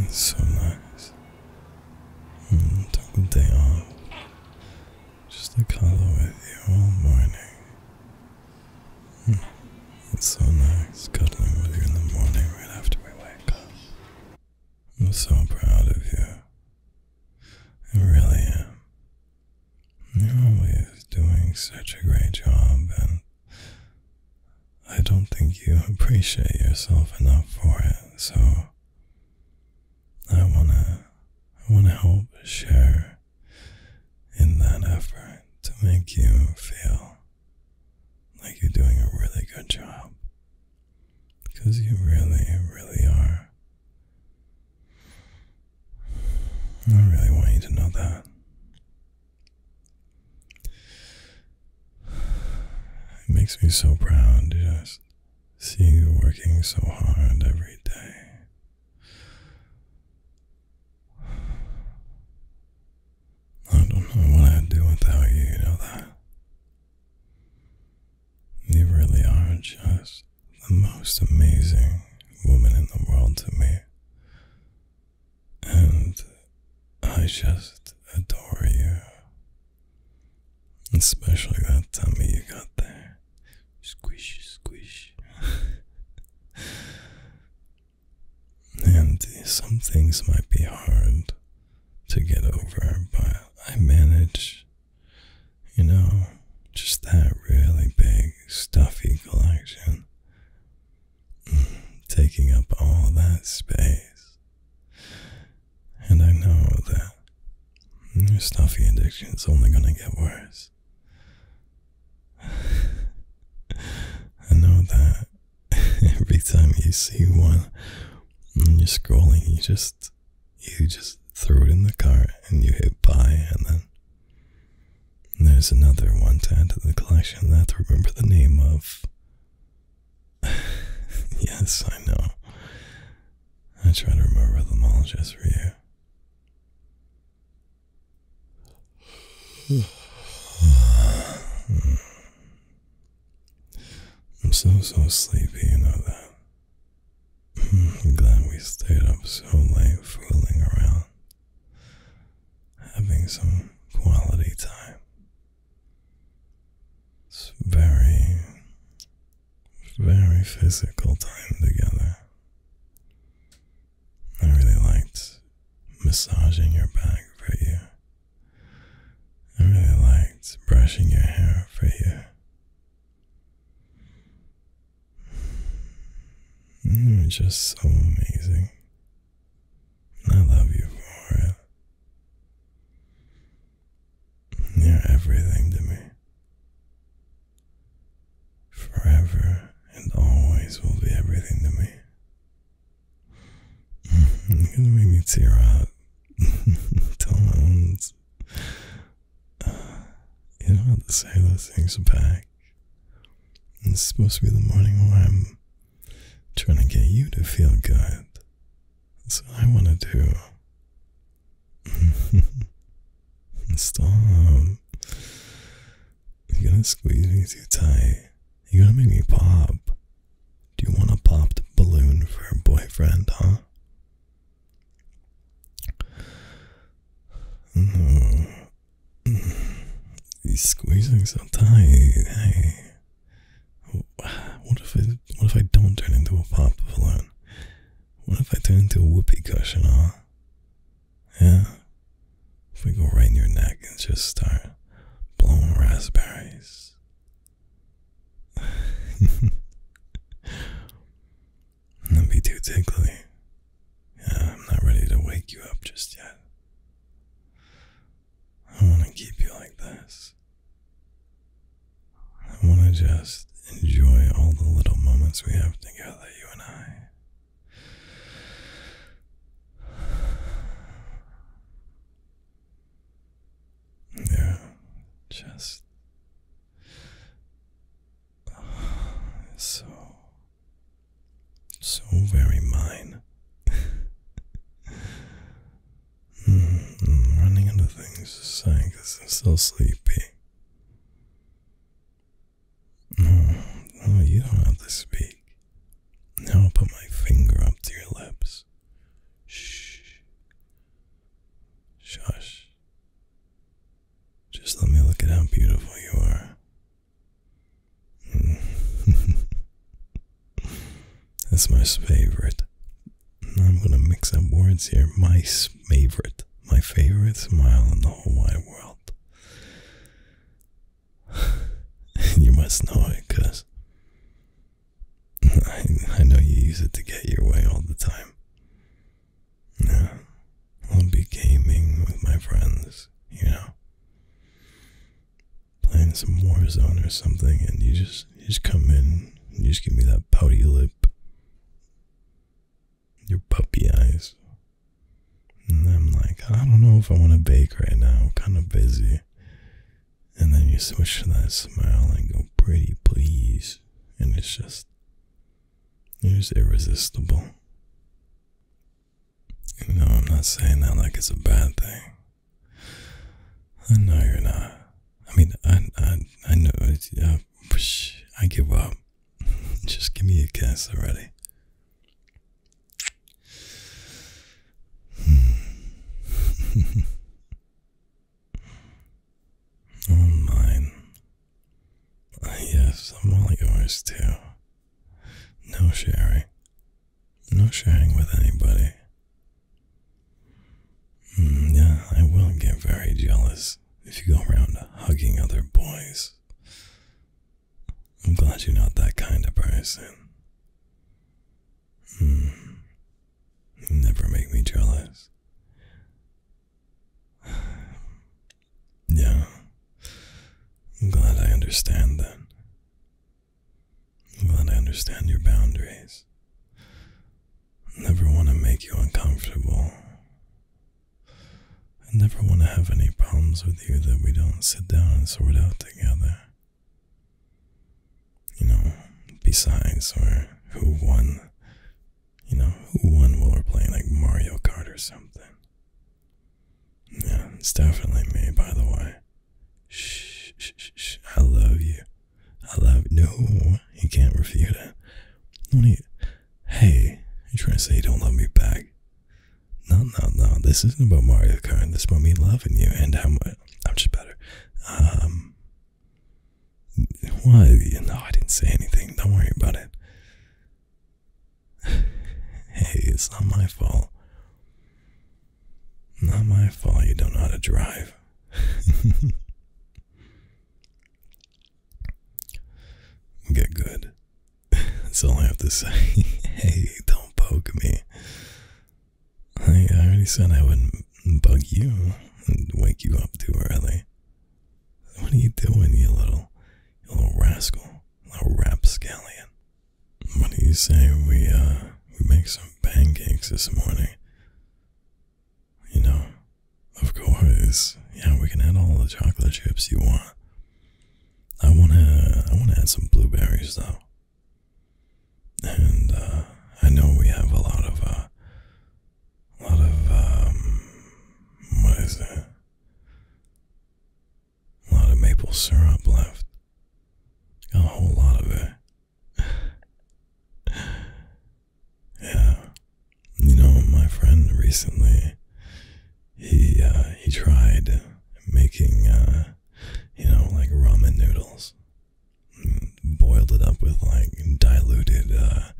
It's so nice. took the day off just to cuddle with you all morning. Mm, it's so nice cuddling with you in the morning right after we wake up. I'm so proud of you. I really am. You're always doing such a great job and I don't think you appreciate yourself enough for it, so I wanna I wanna help share in that effort to make you feel like you're doing a really good job. Because you really, really are. I really want you to know that. It makes me so proud just see you working so hard every day. I don't know what I'd do without you, you know that. You really are just the most amazing woman in the world to me and I just adore you. Especially that tummy you got there. Squish, squish. and some things might be hard to get over, but I manage, you know, just that really big, stuffy collection. taking up all that space. And I know that your stuffy addiction is only going to get worse. I know that every time you see one when you're scrolling, you just you just throw it in the cart and you hit buy and then there's another one to add to the collection that I have to remember the name of. yes, I know. I try to remember them all just for you. I'm so, so sleepy, you know that. Hmm, I'm glad we stayed up so late fooling around having some quality time. It's very, very physical time together. I really liked massaging your back for you. I really liked brushing your hair for you. You mm, were just so amazing. I love you for it. You're everything to me. Forever and always will be everything to me. You're gonna make me tear up. Tell my own. Uh, you don't have to say those things back. It's supposed to be the morning where I'm trying to get you to feel good. That's what I want to do. Stop. You're gonna squeeze me too tight. You're gonna make me pop. Do you want to pop the balloon for a boyfriend, huh? He's squeezing so tight. Hey, what if I what if I don't turn into a pop balloon? What if I turn into a whoopee cushion? Huh? Yeah. If we go right in your neck and just start blowing raspberries. That'd be too tickly. Yeah, I'm not ready to wake you up just yet. I want to keep you like this. I want to just enjoy all the little moments we have together, you and I. Yeah, just so so very mine. Hmm, running into things saying because I'm so sleepy. No, hmm, oh, you don't have to speak. Now I'll put my finger up to your lips. Shh. Shush. Just let me look at how beautiful you are. That's my favorite. I'm gonna mix up words here. My favorite. My favorite smile in the whole wide world. you must know it because I, I know you use it to get your way all the time. Yeah, I'll be gaming with my friends, you know, playing some Warzone or something, and you just you just come in, you just give me that pouty lip, your puppy eyes, and I'm like, I don't know if I want to bake right now. I'm kind of busy, and then you switch to that smile and go, "Pretty please," and it's just. it's irresistible. No, I'm not saying that like it's a bad thing. I know you're not. I mean, I, I, I know. I give up. Just give me a kiss already. All oh, mine. Yes, I'm all yours too. No sharing. No sharing with anybody. yeah, I will get very jealous if you go around hugging other boys. I'm glad you're not that kind of person. never make me jealous. Yeah. I'm glad I understand that. I'm glad I understand your boundaries. I never want to make you uncomfortable. I never want to have any problems with you that we don't sit down and sort out together. You know, besides, or who won you know, one while we're playing like Mario Kart or something. Yeah, it's definitely me, by the way. Shh, shh, shh, I love you. I love you. No, you can't refute it. What are you, hey, you're trying to say you don't love me back? No, no, no. This isn't about Mario Kart. This is about me loving you and how much I'm just better. Um, why? No, I didn't say anything. Don't worry about it hey, it's not my fault. Not my fault you don't know how to drive. Get good. That's all I have to say. hey, don't poke me. I, already said I wouldn't bug you and wake you up too early. What are you doing, you little, you little rascal, little rapscallion? What do you say we uh we make some pancakes this morning? You know, of course. Yeah, we can add all the chocolate chips you want. I wanna I wanna add some blueberries though. And uh, I know we have a lot of uh a lot of um, what is that? A lot of maple syrup left. Got a whole lot of it. yeah, you know, my friend recently he uh, he tried making uh, you know like ramen noodles. Mm, boiled it up with like diluted uh,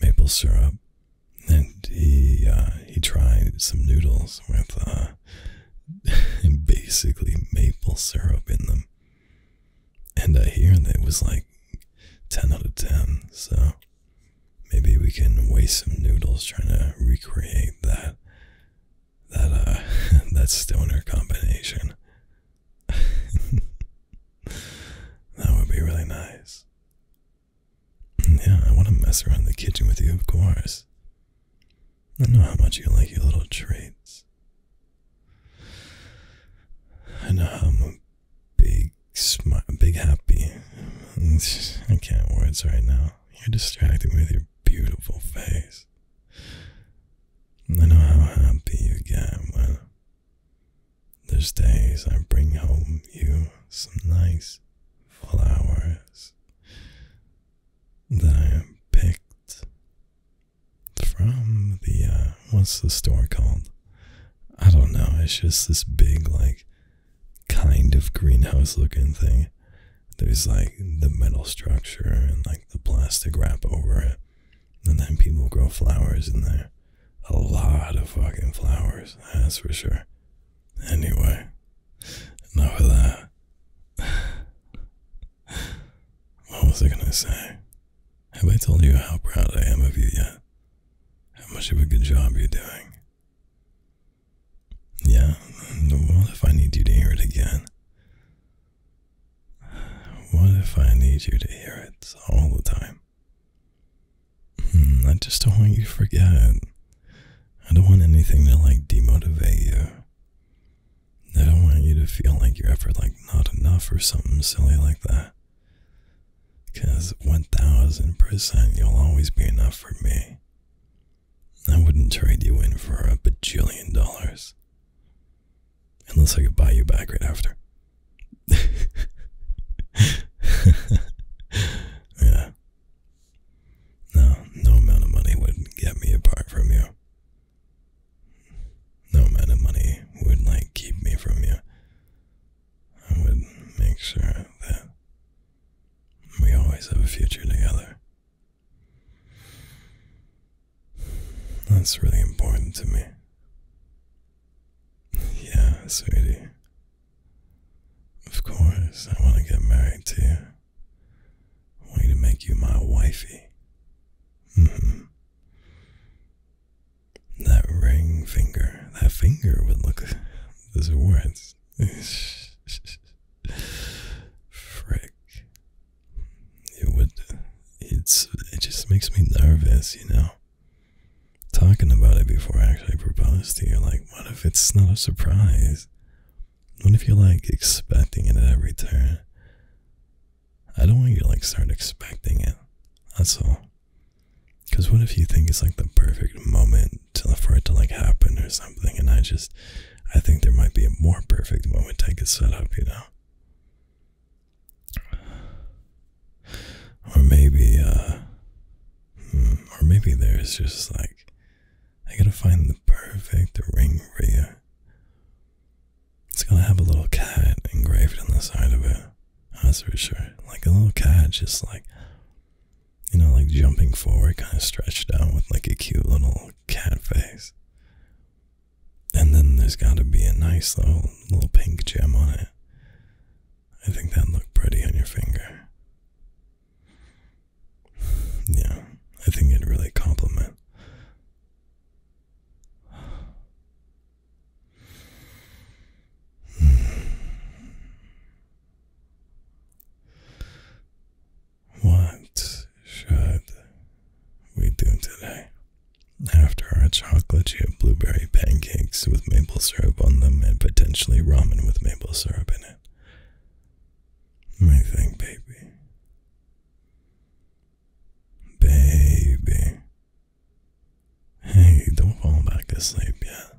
maple syrup and he uh, he tried some noodles with uh, basically maple syrup in them, and I hear that it was like ten out of ten. So maybe we can waste some noodles trying to recreate that that uh that stoner combination. That would be really nice. Yeah, I want to mess around in the kitchen with you, of course. I know how much you like your little treats. I know how big, smart, big happy. I can't words right now. You're distracted with your beautiful face. I know how happy you get when there's days I bring home you some nice flowers that I picked from the, uh, what's the store called? I don't know, it's just this big, like, kind of greenhouse looking thing. There's like the metal structure and like the plastic wrap over it. And then people grow flowers in there. A lot of fucking flowers, that's for sure. Anyway, enough of that. what was I gonna say? Have I told you how proud I am of you yet? How much of a good job you're doing? Yeah, what if I need you to hear it again? What if I need you to hear it all the time? Hmm, I just don't want you to forget. I don't want anything to like demotivate you. I don't want you to feel like your effort like not enough or something silly like that. Cause one thousand percent you'll always be enough for me. I wouldn't trade you in for a bajillion dollars. Unless I could buy you back right after. yeah. No, no amount of money would get me apart from you. No amount of money would, like, keep me from you. I would make sure that we always have a future together. That's really important to me. Yeah, sweetie. Of course, I want to get married to you. I want you to make you my wifey. Mm-hmm. That ring finger, that finger would look. Those words. Frick it would it's it just makes me nervous, you know. Talking about it before I actually propose to you, like what if it's not a surprise? What if you're like expecting it at every turn? I don't want you to like start expecting it. That's all. Cause what if you think it's like the perfect moment for it to like happen or something, and I just I think there might be a more perfect moment I could set up, you know? Or maybe, uh, hmm, or maybe there's just like, I gotta find the perfect ring for you. It's gonna have a little cat engraved on the side of it. That's for sure. Like a little cat, just like, you know, like jumping forward, kind of stretched out with like a cute little cat face. And then there's got to be a nice little, little pink gem on it. I think that looked pretty on your finger. Yeah, I think it'd really compliment. Hmm. What should we do today? After our chocolate you have blueberry pancakes with maple syrup on them and potentially ramen with maple syrup in it. My baby. Baby. Hey, don't fall back asleep yet.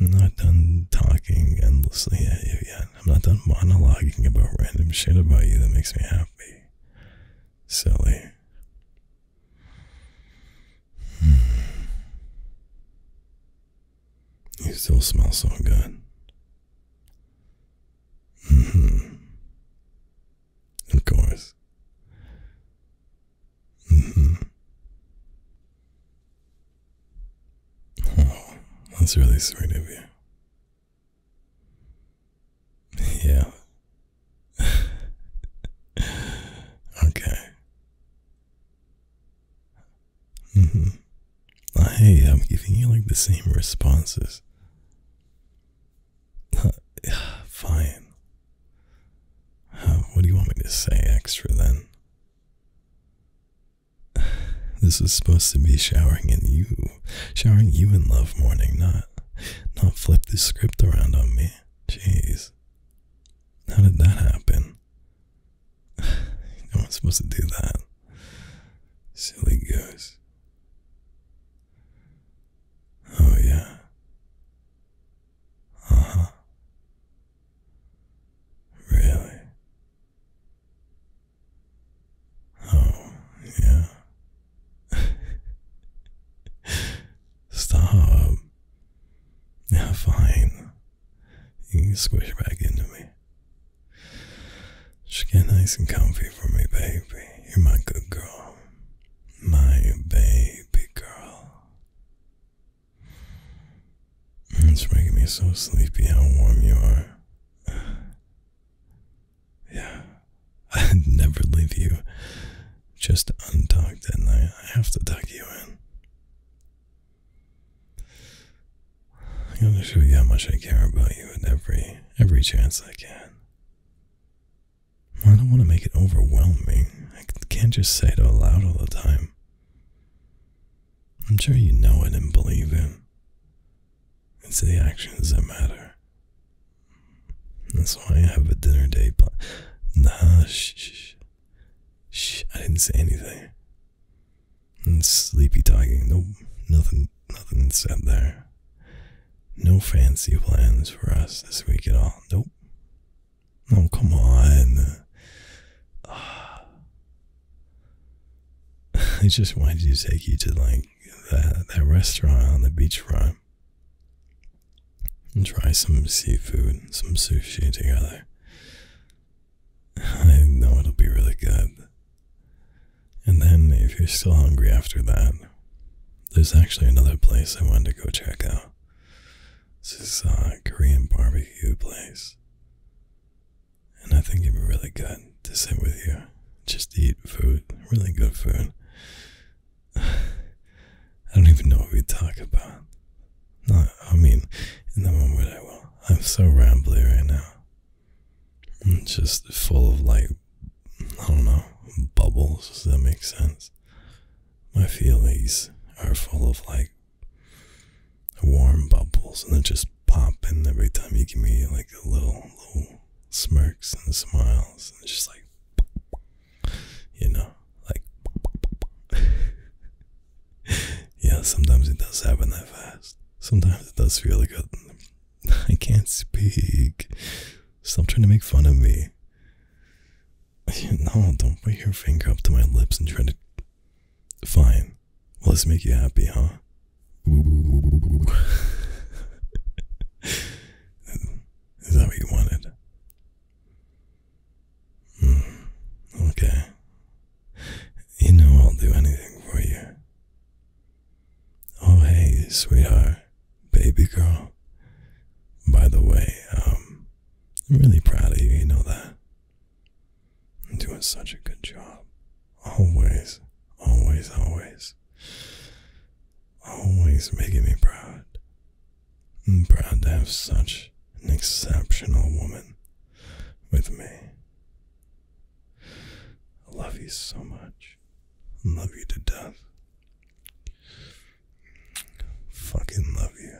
not done talking endlessly at you yet. I'm not done monologuing about random shit about you that makes me happy silly, You hmm. still smell so good. Mm-hmm. Of course. Mm-hmm. Oh, that's really sweet of you. Yeah. okay. hmm hey, I'm giving you like the same responses. fine. Uh, what do you want me to say extra then? This was supposed to be showering in you, showering you in love morning, not not flip the script around on me. Jeez. How did that happen? I was supposed to do that. Silly goose. Oh, yeah. Uh huh. Really? Oh, yeah. Stop. Yeah, fine. You can squish back into me. Just get nice and comfy for me, baby. You're my good girl. My baby girl. It's making me so sleepy how warm you are. Yeah, I'd never leave you just untucked at night. I have to tuck you in. I'm gonna show you how much I care about you at every every chance I can. I don't want to make it overwhelming. I can't just say it out loud all the time. I'm sure you know it and believe it. It's the actions that matter. That's why I have a dinner date plan. Nah, shh, shh, I didn't say anything. And sleepy talking. No, nothing, nothing said there. No fancy plans for us this week at all. Nope. Oh, come on. Ah. I just wanted to take you to like that that restaurant on the beachfront. and try some seafood, some sushi together. I know it'll be really good. And then, if you're still hungry after that, there's actually another place I wanted to go check out. This is a uh, Korean barbecue place and I think it'd be really good to sit with you, just eat food, really good food. I don't even know what we talk about. No, I mean, in the moment I will. I'm so rambly right now. I'm just full of like, I don't know, bubbles. Does that make sense? My feelings are full of like warm bubbles and they just pop popping every time you give me like a little little smirks and smiles and it's just like you know like yeah sometimes it does happen that fast sometimes it does feel like I i can't speak stop trying to make fun of me no don't put your finger up to my lips and try to Fine. let's make you happy, huh? Is that what you wanted? Hmm. okay. You know I'll do anything for you. Oh, hey, sweetheart, baby girl. By the way, um, really proud of you, you know that. I'm doing such a good job. Always, always, always. Always making me proud. I'm proud to have such an exceptional woman with me. I love you so much. I love you to death. Fucking love you.